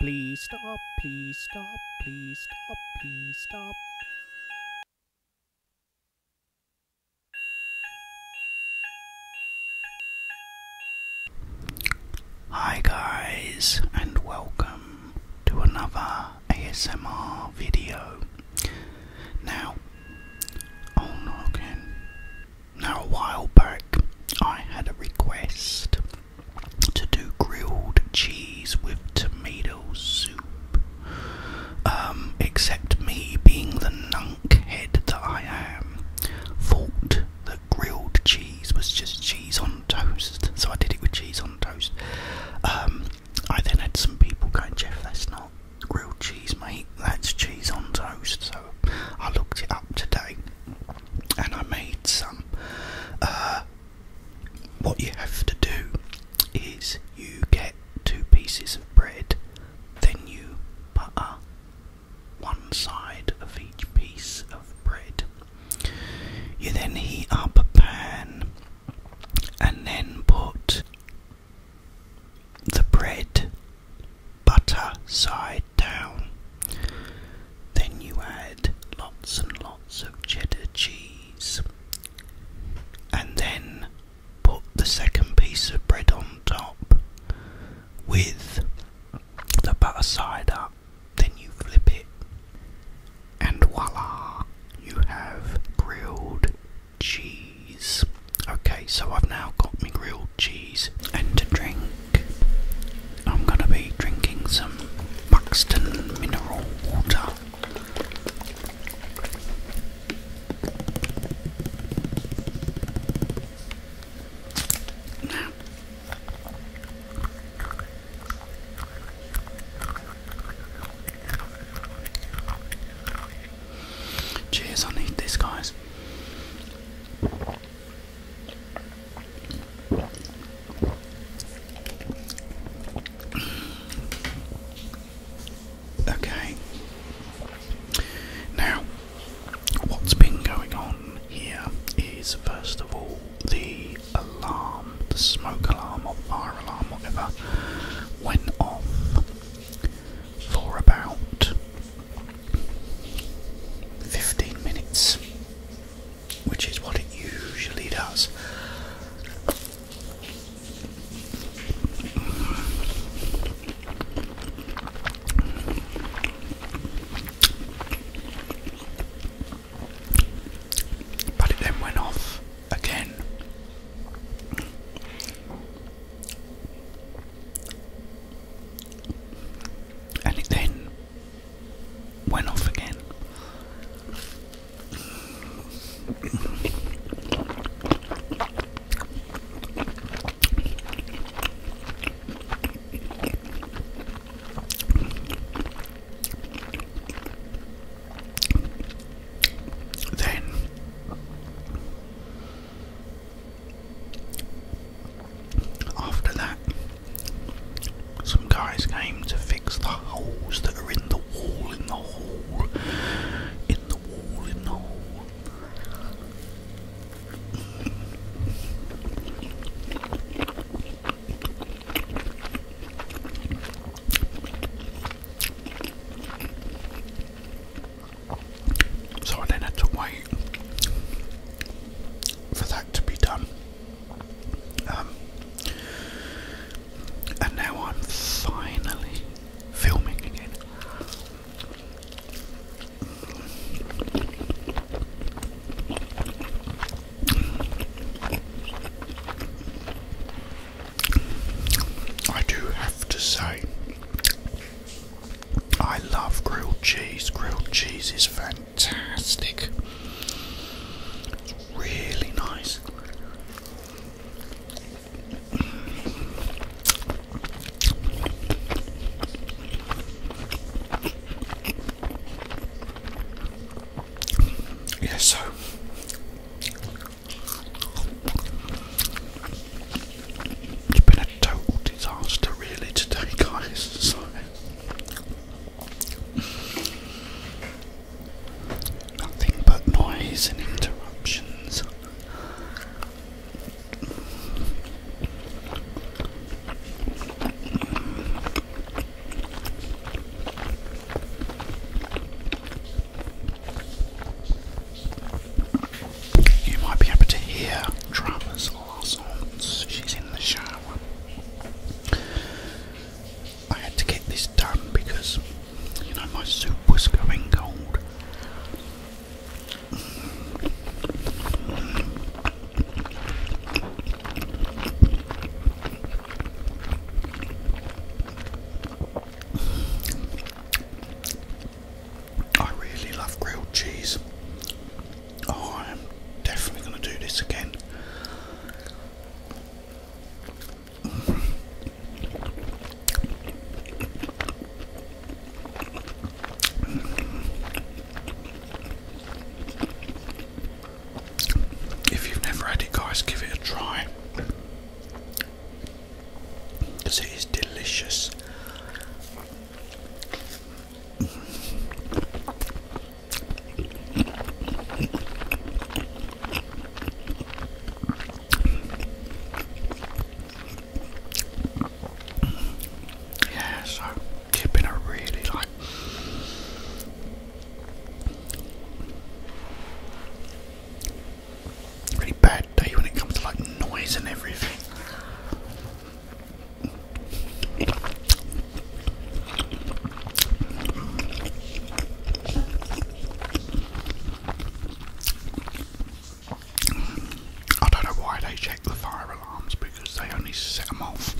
Please stop, please stop, please stop, please stop. Hi guys and welcome to another ASMR video. Now, oh now, a while back, I had a request to do grilled cheese with tomato soup. Um, except me, being the nunk head that I am, thought the grilled cheese was just cheese on toast, so I did it with cheese on toast. Um, I then had some people going, Jeff, that's not Grilled cheese, mate. That's cheese on toast. So I looked it up today, and I made some. Uh, what you have to do is you get two pieces of bread, then you butter one side of each piece of bread. You then heat up a pan and then put the bread, butter side down. Then you add lots and lots of cheddar cheese. And then put the second piece of bread on top with the butter side up. Then you flip it, and voila, you have grilled cheese. Okay, so I've now got my grilled cheese and to drink. I'm going to be drinking some Buxton mineral water. Cheers, I need this, guys. Okay. Now, what's been going on here is first of all the alarm, the smoke alarm or fire alarm, whatever, went off for about 15 minutes, which is what it usually does. But it then went off again and it then went off again. then after that, some guys came to fix the holes that are in the wall, in the hall, in the wall, in the hall. So I then had to wait for that to be done. Um, and now I'm finally filming again. I do have to say I love grilled cheese. Grilled cheese is fantastic. It's really nice. Yeah, so it's been a total disaster, really, today, guys. So. Nothing but noise and interruptions. You might be able to hear Travers Larsons. She's in the shower. I had to get this done because, you know, my soup was going cold. I really love grilled cheese. Oh, I am definitely going to do this again. If you've never had it, guys, give it a try because it is delicious. Yeah, so dipping I really like really bad day when it comes to like noise and everything. I don't know why they check the fire alarms because they only set them off,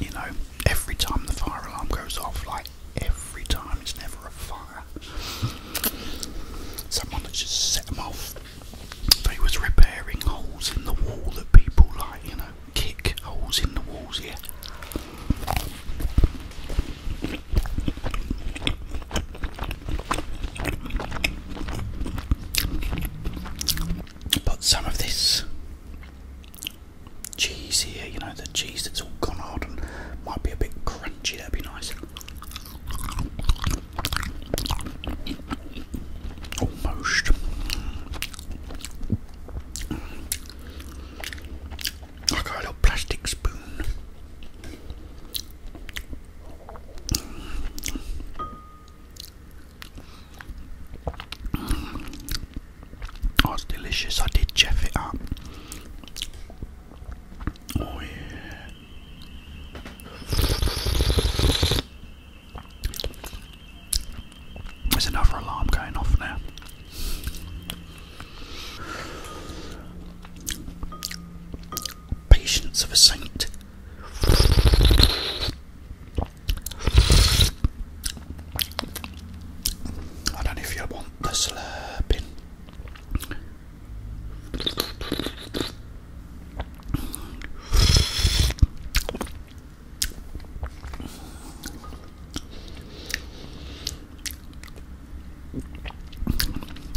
you know, every time the fire alarm goes off, like every time, it's never a fire Someone that just set them off. They was repairing holes in the wall that people like, you know, kick holes in the walls, yeah. But some of this cheese here, you know, the cheese that's all gone hard and might be a bit crunchy, that'd be nice. Almost. I got a little plastic spoon. Oh, delicious. I did chef it up. Oh, yeah. There's another alarm going off now. Patience of a saint. I don't know if you want the slurping.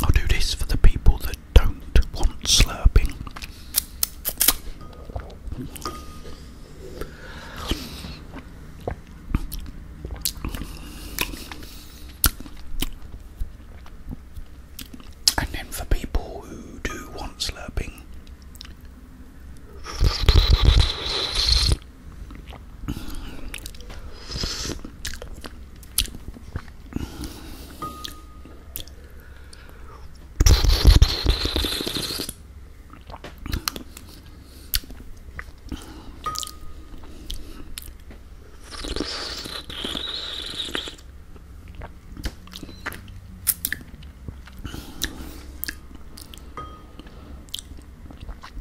I'll do this for the people that don't want slurping. And then for people who do want slurping,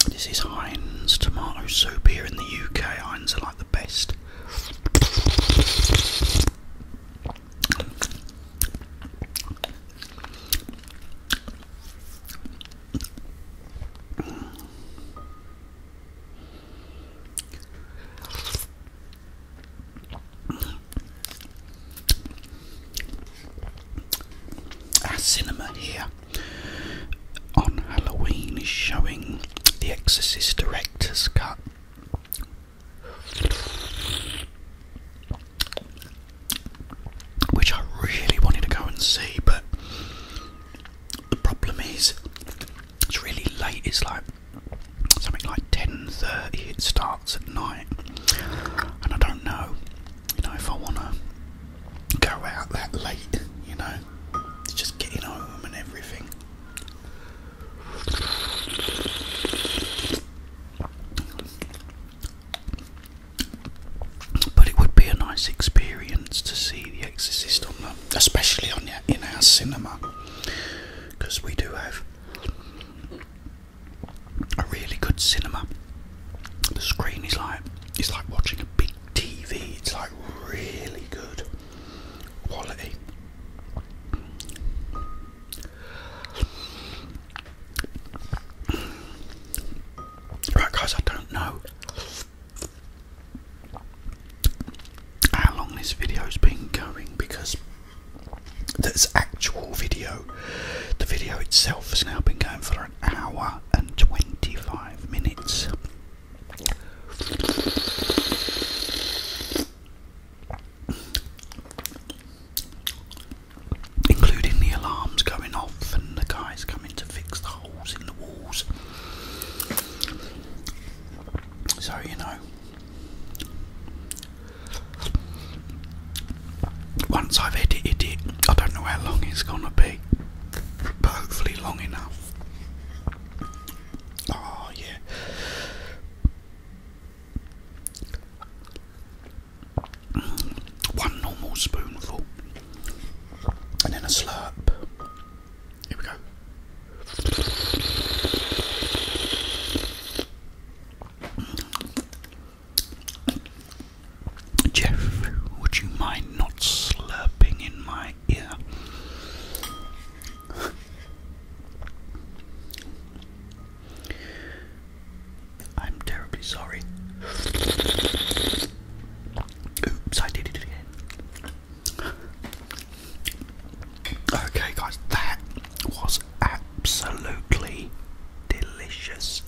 this is Heinz tomato soup here in the UK. Heinz are like the best. Our cinema here on Halloween is showing The Exorcist Director's Cut. Which I really wanted to go and see, but the problem is it's really late. It's like something like 10:30. It starts at night, and I don't know, you know, if I wanna go out that late. You know, it's just getting home and everything. But it would be a nice experience to see The Exorcist on that especially on in our cinema, because we do have a really good cinema. The screen is like it's like watching a big TV. It's like really good quality. Right, guys, I don't know how long this video's been going because this actual video. The video itself has now been going for an hour and 25 minutes. Including the alarms going off and the guys coming to fix the holes in the walls. So, you know, once I've edited it, I don't know how long it's gonna be, but hopefully, long enough. Oh, yeah. One normal spoonful and then a slurp. Here we go. Jeff, would you mind not slurping in my ear? I'm terribly sorry. Oops, I did it again. Okay, guys, that was absolutely delicious.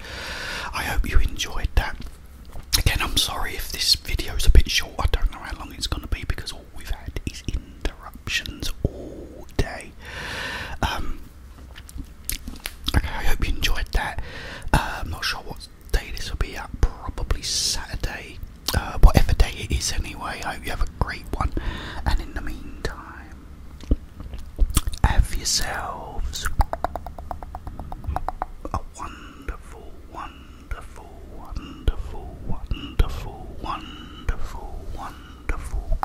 I hope you enjoyed that. Again, I'm sorry if this video is a bit short. I don't know how long it's going to be because all we've had is interruptions all day. Um, okay, I hope you enjoyed that. Uh, I'm not sure what's day this will be at, probably Saturday, uh, whatever day it is anyway. I hope you have a great one, and in the meantime, have yourselves a wonderful, wonderful, wonderful, wonderful, wonderful, wonderful,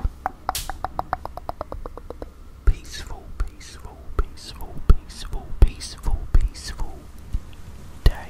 peaceful, peaceful peaceful, peaceful, peaceful, peaceful, day.